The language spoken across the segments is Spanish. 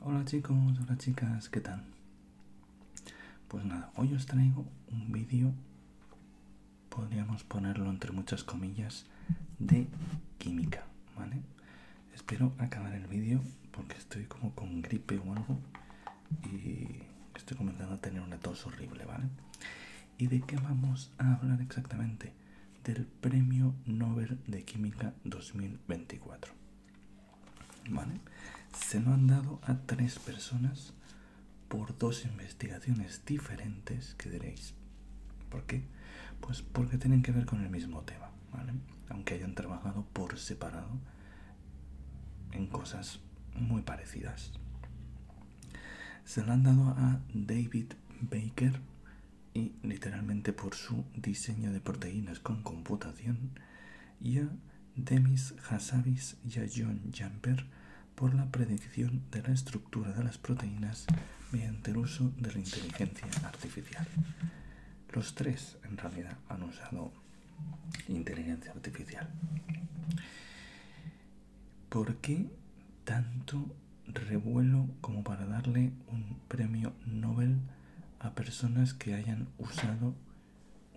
Hola chicos, hola chicas, ¿qué tal? Pues nada, hoy os traigo un vídeo, podríamos ponerlo entre muchas comillas, de química, ¿vale? Espero acabar el vídeo porque estoy como con gripe o algo y estoy comenzando a tener una tos horrible, ¿vale? ¿Y de qué vamos a hablar exactamente? Del Premio Nobel de Química 2024. Se lo han dado a tres personas por dos investigaciones diferentes que diréis. ¿Por qué? Pues porque tienen que ver con el mismo tema, Aunque hayan trabajado por separado en cosas muy parecidas. Se lo han dado a David Baker y literalmente por su diseño de proteínas con computación, y a Demis Hassabis y a John Jamper por la predicción de la estructura de las proteínas mediante el uso de la inteligencia artificial. Los tres en realidad han usado inteligencia artificial. ¿Por qué tanto revuelo como para darle un premio Nobel a personas que hayan usado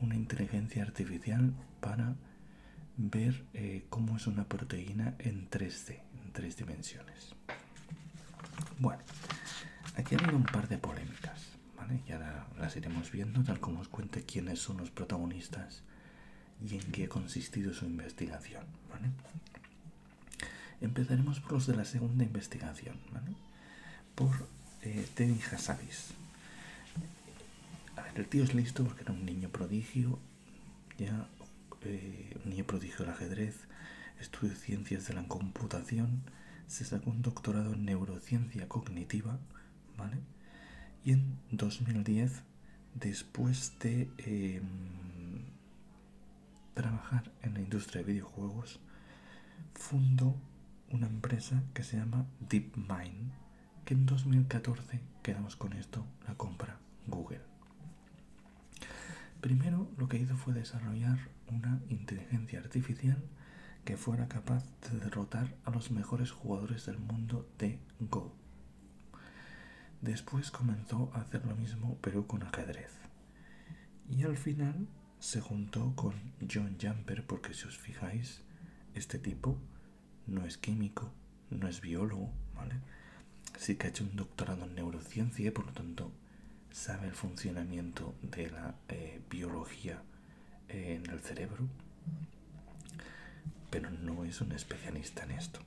una inteligencia artificial para ver eh, cómo es una proteína en 3D, en tres dimensiones. Bueno, aquí ha habido un par de polémicas, ¿vale? Y ahora las iremos viendo tal como os cuente quiénes son los protagonistas y en qué ha consistido su investigación, ¿vale? Empezaremos por los de la segunda investigación, ¿vale? Por eh, Teddy Hassabis. el tío es listo porque era un niño prodigio, ya eh, un niño prodigio del ajedrez, estudió ciencias de la computación, se sacó un doctorado en neurociencia cognitiva, ¿vale? Y en 2010, después de... Em, trabajar en la industria de videojuegos, fundó una empresa que se llama DeepMind, que en 2014 quedamos con esto, la compra Google. Primero lo que hizo fue desarrollar una inteligencia artificial que fuera capaz de derrotar a los mejores jugadores del mundo de Go. Después comenzó a hacer lo mismo pero con ajedrez y al final se juntó con John Jumper porque si os fijáis este tipo no es químico, no es biólogo, ¿vale? Sí que ha hecho un doctorado en neurociencia y por lo tanto sabe el funcionamiento de la eh, biología eh, en el cerebro, pero no es un especialista en esto.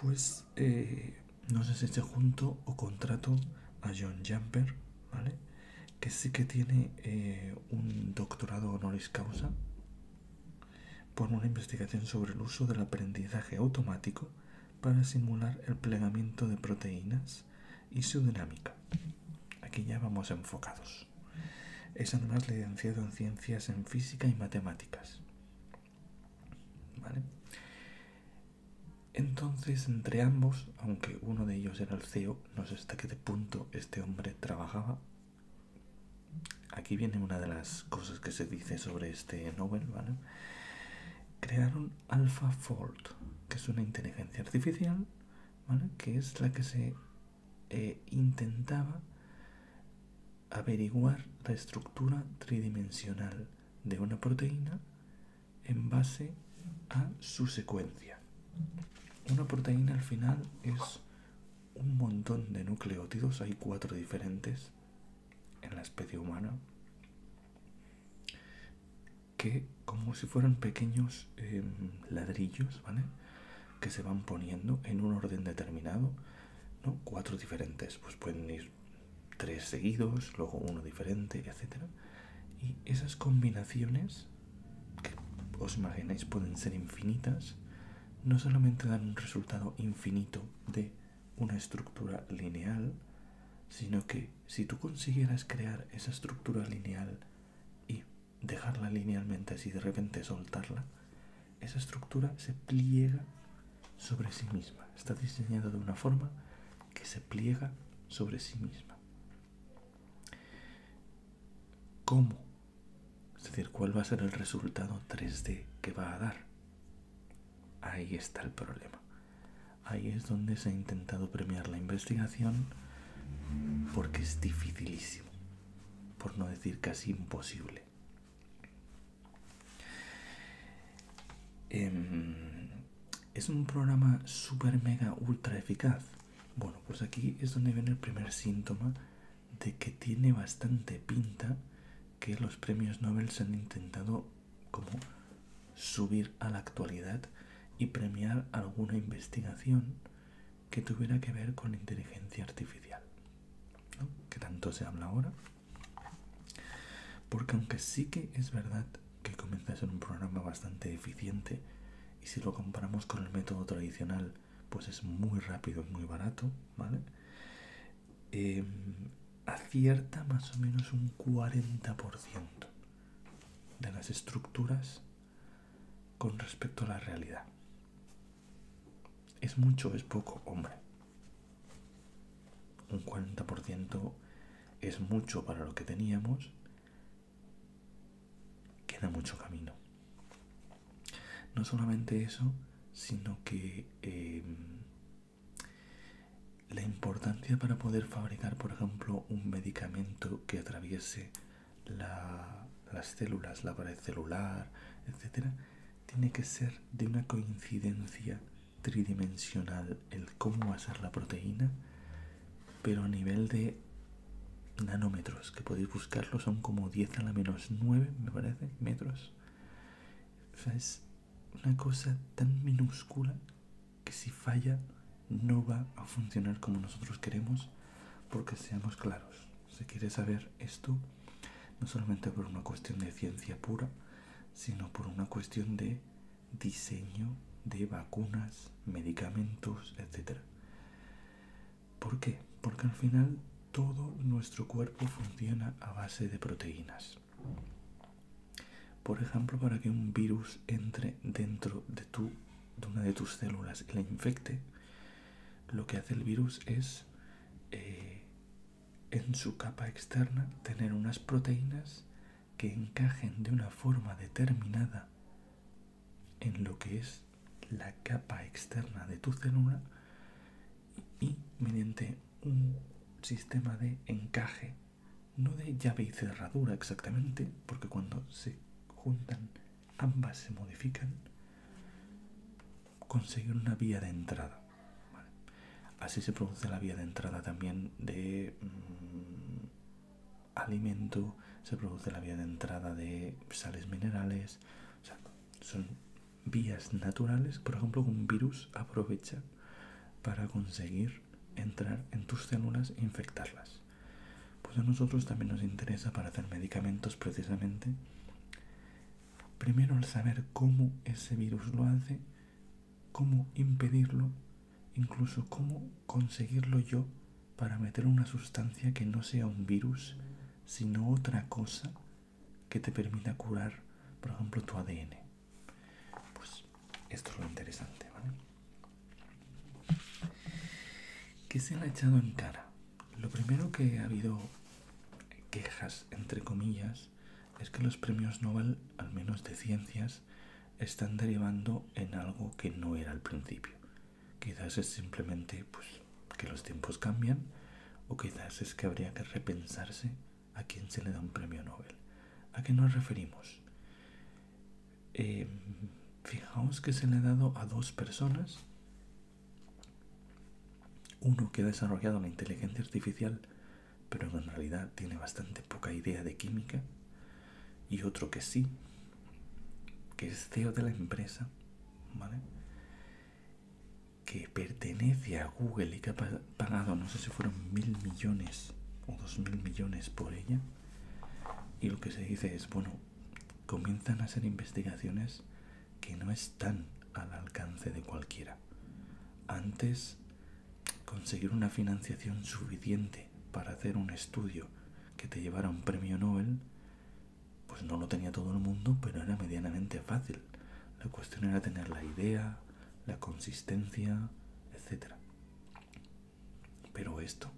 Pues eh, no sé si se junto o contrato a John Jumper, Que sí que tiene eh, un doctorado honoris causa por una investigación sobre el uso del aprendizaje automático para simular el plegamiento de proteínas y su dinámica. Aquí ya vamos enfocados. Es además licenciado en ciencias en física y matemáticas. Entonces, entre ambos, aunque uno de ellos era el CEO, no sé hasta qué punto este hombre trabajaba. Aquí viene una de las cosas que se dice sobre este novel ¿vale? Crearon AlphaFold, que es una inteligencia artificial, ¿vale? Que es la que se eh, intentaba averiguar la estructura tridimensional de una proteína en base a su secuencia. Una proteína al final es un montón de nucleótidos, hay cuatro diferentes en la especie humana, que como si fueran pequeños em, ladrillos, ¿vale? Que se van poniendo en un orden determinado Cuatro diferentes, pues pueden ir tres seguidos, luego uno diferente, etcétera. Y esas combinaciones, que os imagináis pueden ser infinitas, no solamente dan un resultado infinito de una estructura lineal, sino que si tú consiguieras crear esa estructura lineal y dejarla linealmente así de repente soltarla, esa estructura se pliega sobre sí misma. Está diseñada de una forma que se pliega sobre sí misma. ¿Cómo? Es decir, ¿cuál va a ser el resultado 3D que va a dar? Ahí está el problema. Ahí es donde se ha intentado premiar la investigación porque es dificilísimo, por no decir casi imposible. Em, es un programa super mega ultra eficaz. Bueno, pues aquí es donde viene el primer síntoma de que tiene bastante pinta que los premios Nobel se han intentado como subir a la actualidad y premiar alguna investigación que tuviera que ver con inteligencia artificial que tanto se habla ahora. Porque aunque sí que es verdad que comienza a ser un programa bastante eficiente, y si lo comparamos con el método tradicional, pues es muy rápido y muy barato, ¿vale? Em, acierta más o menos un 40% de las estructuras con respecto a la realidad. ¿Es mucho es poco? Hombre. Un 40% es mucho para lo que teníamos. Queda mucho camino. No solamente eso, sino que em, la importancia para poder fabricar, por ejemplo, un medicamento que atraviese las células, la pared celular, etcétera, tiene que ser de una coincidencia tridimensional el cómo va a ser la proteína, pero a nivel de nanómetros, que podéis buscarlo, son como 10 a la menos 9, me parece, metros. es una cosa tan minúscula que si falla no va a funcionar como nosotros queremos, porque seamos claros, Si quiere saber esto no solamente por una cuestión de ciencia pura, sino por una cuestión de diseño de vacunas, medicamentos, etc. ¿Por qué? Porque al final todo nuestro cuerpo funciona a base de proteínas. Por ejemplo, para que un virus entre dentro de, de una de tus células y la infecte, lo que hace el virus es eh, en su capa externa tener unas proteínas que encajen de una forma determinada en lo que es la capa externa de tu célula y mediante un sistema de encaje, no de llave y cerradura exactamente, porque cuando se juntan ambas se modifican, conseguir una vía de entrada. Así se produce la vía de entrada también de mm, alimento, se produce la vía de entrada de sales minerales, son vías naturales, por ejemplo, un virus aprovecha para conseguir entrar en tus células e infectarlas. Pues a nosotros también nos interesa para hacer medicamentos precisamente. Primero al saber cómo ese virus lo hace, cómo impedirlo, incluso cómo conseguirlo yo para meter una sustancia que no sea un virus, sino otra cosa que te permita curar, por ejemplo, tu ADN. Pues esto es lo interesante, ¿vale? ¿Qué se le ha echado en cara lo primero que ha habido quejas, entre comillas, es que los premios Nobel, al menos de ciencias, están derivando en algo que no era al principio. Quizás es simplemente pues, que los tiempos cambian o quizás es que habría que repensarse a quién se le da un premio Nobel. ¿A qué nos referimos? Eh, fijaos que se le ha dado a dos personas. Uno que ha desarrollado la inteligencia artificial, pero en realidad tiene bastante poca idea de química. Y otro que sí, que es CEO de la empresa, ¿vale? Que pertenece a Google y que ha pagado, no sé si fueron mil millones o dos mil millones por ella. Y lo que se dice es, bueno, comienzan a ser investigaciones que no están al alcance de cualquiera. Antes, conseguir una financiación suficiente para hacer un estudio que te llevara un premio Nobel, pues no lo tenía todo el mundo, pero era medianamente fácil. La cuestión era tener la idea, la consistencia, etcétera pero esto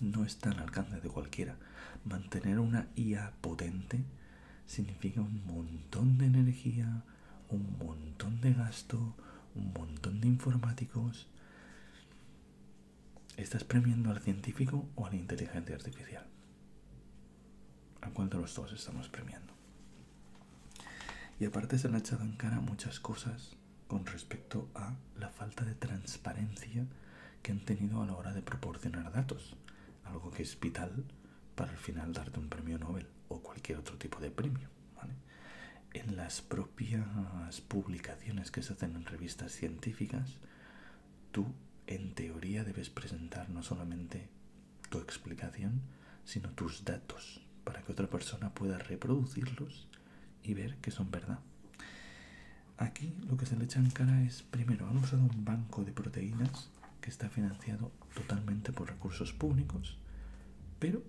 no está al alcance de cualquiera. Mantener una IA potente significa un montón de energía, un montón de gasto, un montón de informáticos. ¿Estás premiando al científico o a la inteligencia artificial? ¿A cuánto los dos estamos premiando? Y aparte se le ha echado en cara muchas cosas con respecto a la falta de transparencia que han tenido a la hora de proporcionar datos, algo que es vital para al final darte un premio Nobel o cualquier otro tipo de premio. En las propias publicaciones que se hacen en revistas científicas, tú en teoría debes presentar no solamente tu explicación, sino tus datos, para que otra persona pueda reproducirlos y ver que son verdad. Aquí lo que se le echa en cara es, primero, han usado un banco de proteínas que está financiado totalmente por recursos públicos, pero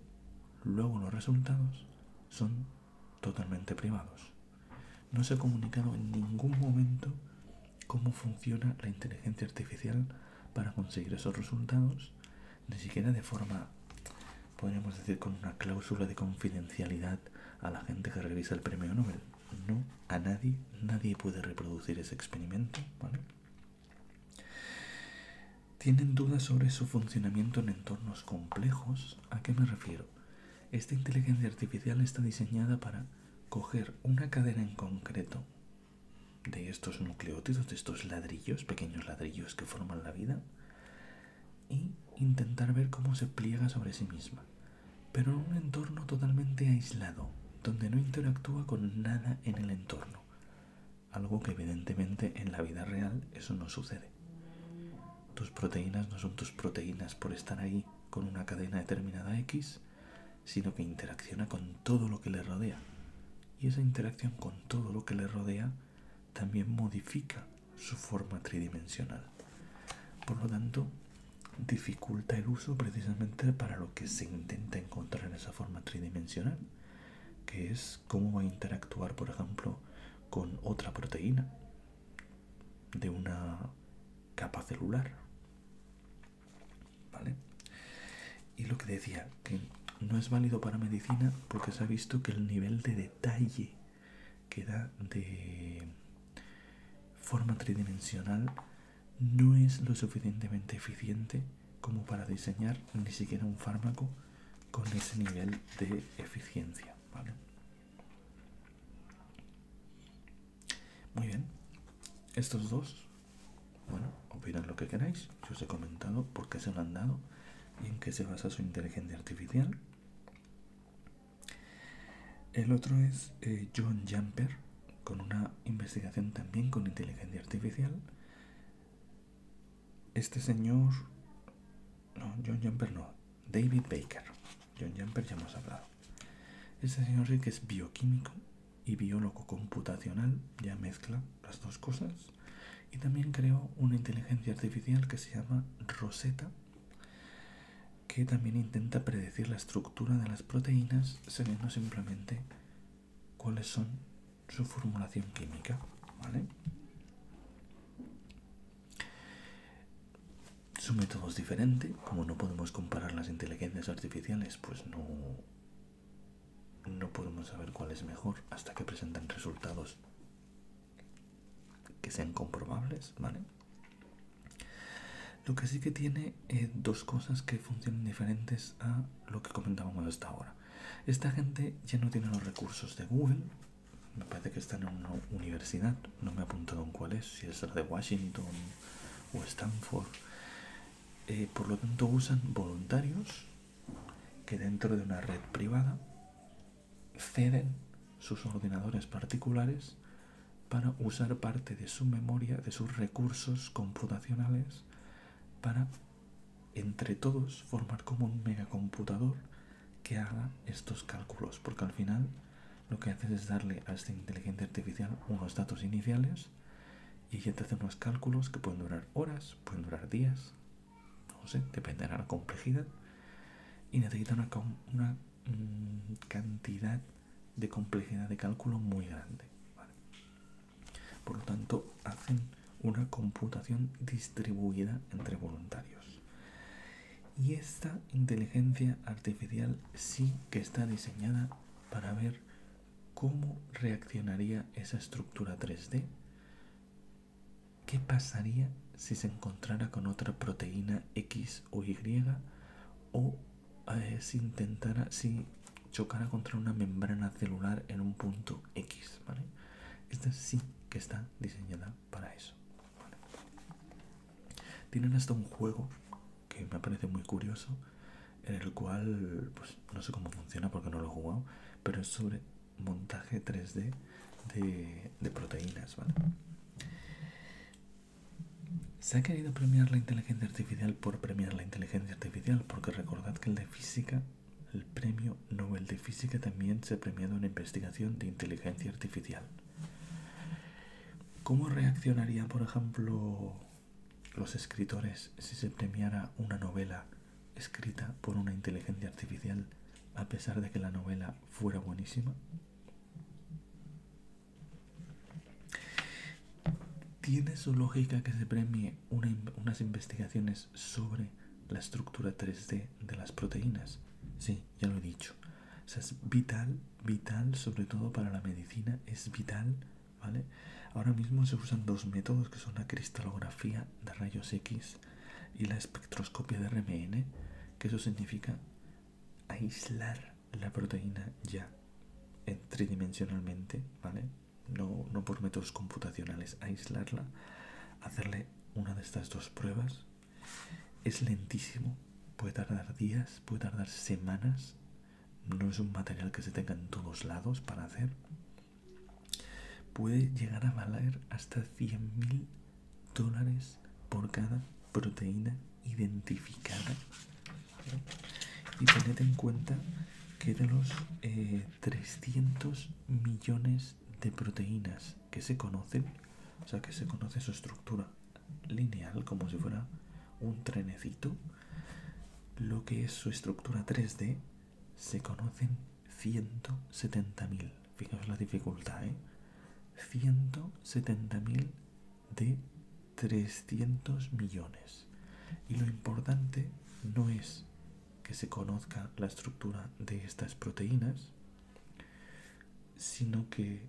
luego los resultados son totalmente privados. No se ha comunicado en ningún momento cómo funciona la inteligencia artificial para conseguir esos resultados, ni siquiera de forma podríamos decir con una cláusula de confidencialidad a la gente que revisa el premio Nobel. No, a nadie, nadie puede reproducir ese experimento, Tienen dudas sobre su funcionamiento en entornos complejos. ¿A qué me refiero? Esta inteligencia artificial está diseñada para coger una cadena en concreto de estos nucleótidos, de estos ladrillos, pequeños ladrillos que forman la vida, y intentar ver cómo se pliega sobre sí misma, pero en un entorno totalmente aislado, donde no interactúa con nada en el entorno, algo que evidentemente en la vida real eso no sucede. Tus proteínas no son tus proteínas por estar ahí con una cadena determinada X, sino que interacciona con todo lo que le rodea. Y esa interacción con todo lo que le rodea también modifica su forma tridimensional. Por lo tanto, dificulta el uso precisamente para lo que se intenta encontrar en esa forma tridimensional, que es cómo va a interactuar, por ejemplo, con otra proteína de una capa celular. Y lo que decía, que no es válido para medicina porque se ha visto que el nivel de detalle que da de forma tridimensional no es lo suficientemente eficiente como para diseñar ni siquiera un fármaco con ese nivel de eficiencia. ¿vale? Muy bien, estos dos, bueno, opinan lo que queráis yo os he comentado por qué se lo han dado y en qué se basa su inteligencia artificial. El otro es eh, John Jumper, con una investigación también con inteligencia artificial. Este señor... No, John Jumper no, David Baker. John Jumper ya hemos hablado. Este señor Rick que es bioquímico y biólogo computacional, ya mezcla las dos cosas. Y también creó una inteligencia artificial que se llama Rosetta, que también intenta predecir la estructura de las proteínas sabiendo simplemente cuáles son su formulación química. Su método es diferente, como no podemos comparar las inteligencias artificiales, pues no, no podemos saber cuál es mejor hasta que presenten resultados que sean comprobables, ¿vale? Lo que sí que tiene eh, dos cosas que funcionan diferentes a lo que comentábamos hasta ahora. Esta gente ya no tiene los recursos de Google, me parece que están en una universidad, no me he apuntado en cuál es, si es la de Washington o Stanford. Eh, por lo tanto usan voluntarios que dentro de una red privada ceden sus ordenadores particulares para usar parte de su memoria, de sus recursos computacionales, para entre todos formar como un megacomputador que haga estos cálculos, porque al final lo que haces es darle a esta inteligencia artificial unos datos iniciales y ya te hace unos cálculos que pueden durar horas, pueden durar días, no sé, dependerá de la complejidad y necesitan una, mm, cantidad de complejidad de cálculo muy grande. Por lo tanto, hacen una computación distribuida entre voluntarios. Y esta inteligencia artificial sí que está diseñada para ver ¿Cómo reaccionaría esa estructura 3D? ¿Qué pasaría si se encontrara con otra proteína X o Y? ¿O eh, si intentara, si chocara contra una membrana celular en un punto X? Esta sí que está diseñada para eso. Tienen hasta un juego que me parece muy curioso en el cual pues no sé cómo funciona porque no lo he jugado pero es sobre montaje 3D de, de proteínas ¿vale? se ha querido premiar la inteligencia artificial por premiar la inteligencia artificial porque recordad que el de física el premio Nobel de física también se ha premiado en investigación de inteligencia artificial ¿Cómo reaccionaría, por ejemplo, los escritores si se premiara una novela escrita por una inteligencia artificial a pesar de que la novela fuera buenísima? ¿Tiene su lógica que se premie unas investigaciones sobre la estructura 3D de las proteínas? Sí, ya lo he dicho. es vital, vital sobre todo para la medicina, es vital ¿vale? Ahora mismo se usan dos métodos que son la cristalografía de rayos X y la espectroscopia de RMN, que eso significa aislar la proteína ya tridimensionalmente, ¿vale? No, no por métodos computacionales, aislarla, hacerle una de estas dos pruebas. Es lentísimo, puede tardar días, puede tardar semanas no es un material que se tenga en todos lados para hacer, puede llegar a valer hasta 100.000 dólares por cada proteína identificada. Y tened en cuenta que de los 300 eh, millones de proteínas que se conocen, o sea que se conoce su estructura lineal como si fuera un trenecito lo que es su estructura 3D, se conocen 170.000. Fijaos la dificultad, 170.000 ¿eh? de 300 millones. Y lo importante no es que se conozca la estructura de estas proteínas, sino que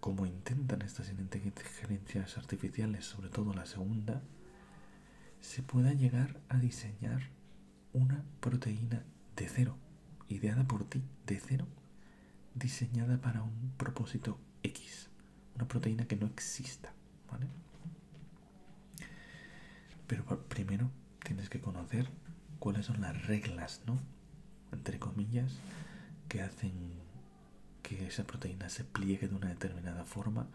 como intentan estas inteligencias artificiales, sobre todo la segunda, se pueda llegar a diseñar una proteína de cero, ideada por ti, de cero, diseñada para un propósito X, una proteína que no exista, ¿vale? Pero primero tienes que conocer cuáles son las reglas, ¿no? Entre comillas, que hacen que esa proteína se pliegue de una determinada forma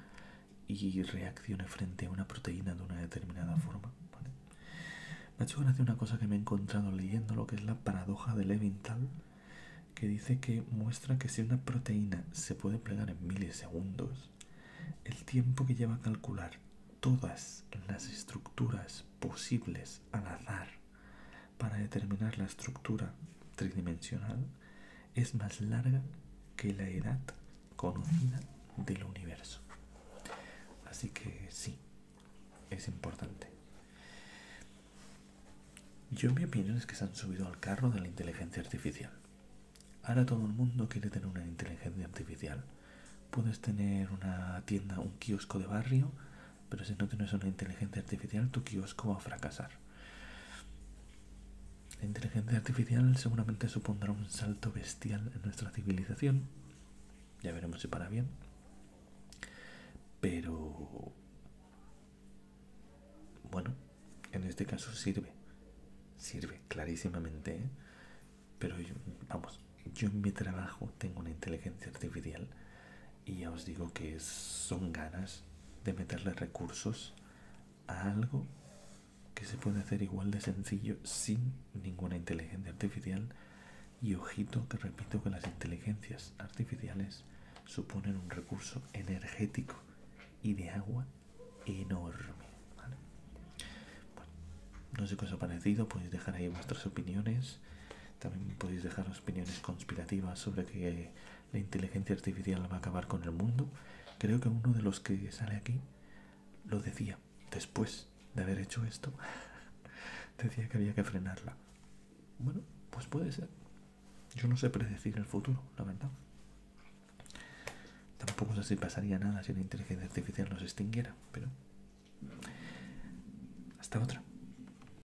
y reaccione frente a una proteína de una determinada forma. Me ha hecho gracia una cosa que me he encontrado leyendo, lo que es la paradoja de Leventhal, que dice que muestra que si una proteína se puede plegar en milisegundos, el tiempo que lleva a calcular todas las estructuras posibles al azar para determinar la estructura tridimensional es más larga que la edad conocida del universo. Así que sí, es importante. Yo mi opinión es que se han subido al carro de la inteligencia artificial. Ahora todo el mundo quiere tener una inteligencia artificial. Puedes tener una tienda, un kiosco de barrio pero si no tienes una inteligencia artificial, tu kiosco va a fracasar. La inteligencia artificial seguramente supondrá un salto bestial en nuestra civilización. Ya veremos si para bien. Pero... Bueno, en este caso sirve. Sirve clarísimamente. ¿eh? Pero vamos, yo en mi trabajo tengo una inteligencia artificial y ya os digo que son ganas de meterle recursos a algo que se puede hacer igual de sencillo sin ninguna inteligencia artificial y ojito que repito que las inteligencias artificiales suponen un recurso energético y de agua enorme no sé qué os ha parecido podéis dejar ahí vuestras opiniones también podéis dejar opiniones conspirativas sobre que la inteligencia artificial va a acabar con el mundo. Creo que uno de los que sale aquí lo decía después de haber hecho esto. decía que había que frenarla. Bueno, pues puede ser. Yo no sé predecir el futuro, la verdad. Tampoco sé si pasaría nada si la inteligencia artificial nos extinguiera, pero... Hasta otra.